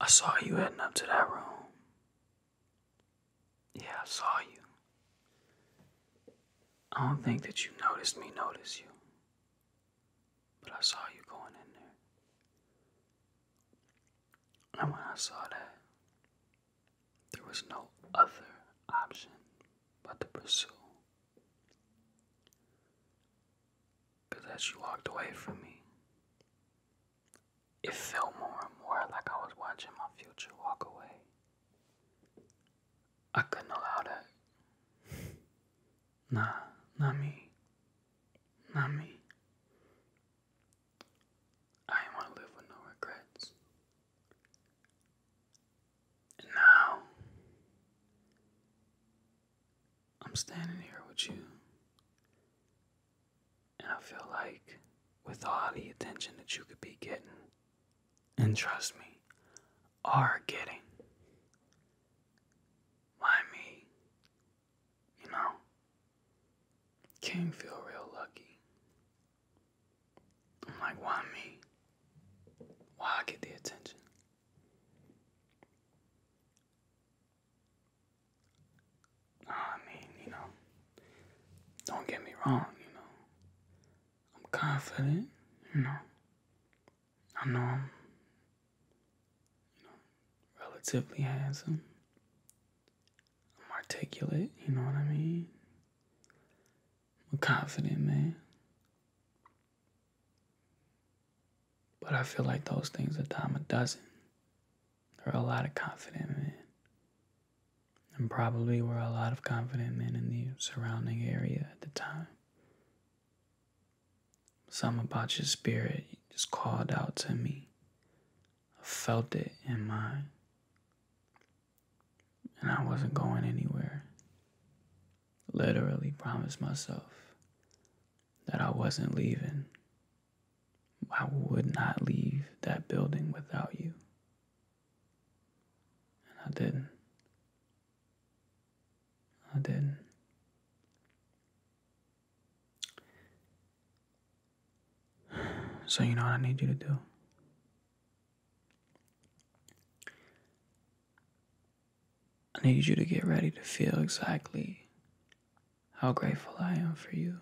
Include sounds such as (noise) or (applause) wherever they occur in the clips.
I saw you heading up to that room. Yeah, I saw you. I don't think that you noticed me notice you. But I saw you going in there. And when I saw that, there was no other option but to pursue. Because as she walked away from me, it felt more and more like I was watching my future walk away. I couldn't allow that. Nah, not me. Not me. I want to live with no regrets. And now, I'm standing here with you. And I feel like, with all the attention that you could be getting, and trust me, are getting, why me? You know, can feel real lucky. I'm like, why me? Why I get the attention? I mean, you know, don't get me wrong, you know. I'm confident, you know. I know I'm, you know, relatively handsome. I'm articulate, you know what I mean? I'm confident man. But I feel like those things are dime a dozen. There are a lot of confident men. And probably were a lot of confident men in the surrounding area at the time. Something about your spirit just called out to me. I felt it in mine and I wasn't going anywhere. Literally promised myself that I wasn't leaving. I would not leave that building without you. And I didn't. I didn't. (sighs) So, you know what I need you to do? I need you to get ready to feel exactly how grateful I am for you.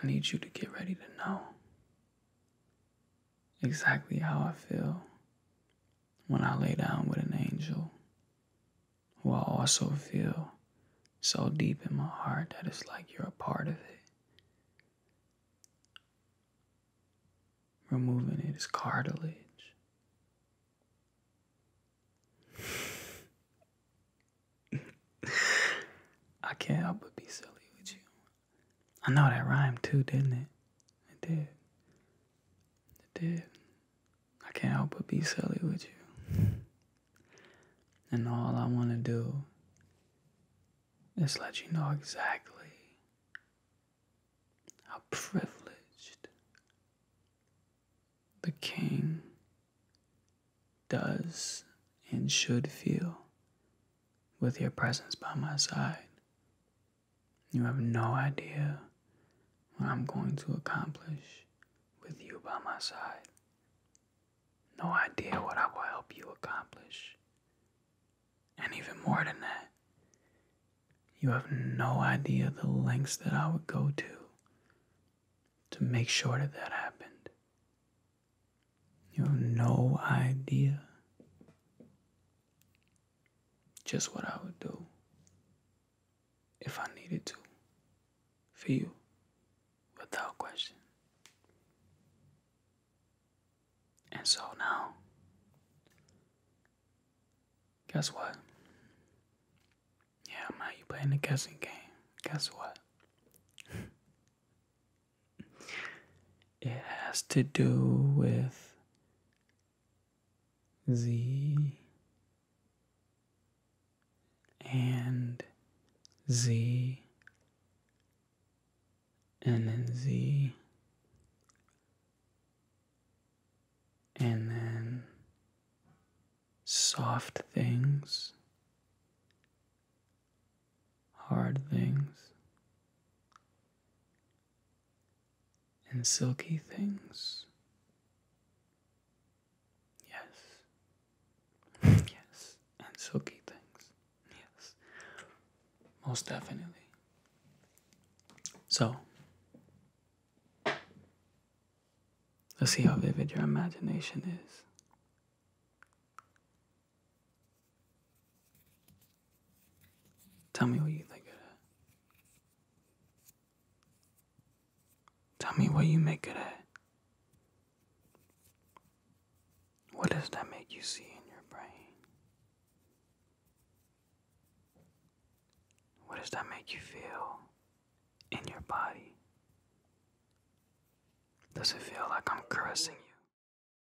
I need you to get ready to know exactly how I feel when I lay down with an angel who I also feel so deep in my heart that it's like you're a part of it. Removing it is cartilage. I can't help but be silly with you. I know that rhymed too, didn't it? It did. It did. I can't help but be silly with you. And all I want to do is let you know exactly how privileged the king does and should feel with your presence by my side. You have no idea what I'm going to accomplish with you by my side. No idea what I will help you accomplish. And even more than that, you have no idea the lengths that I would go to to make sure that that happened. You have no idea just what I would do if I needed to for you without question. And so now, guess what? Yeah, now you playing the guessing game. Guess what? (laughs) it has to do with Z and Z and then Z and then soft things, hard things, and silky things. Yes. (laughs) yes. And silky things. Yes. Most definitely. So, let's see how vivid your imagination is. Tell me what you think of it. Tell me what you make of that. What does that make you see in your brain? What does that make you feel in your body? Does it feel like I'm caressing you?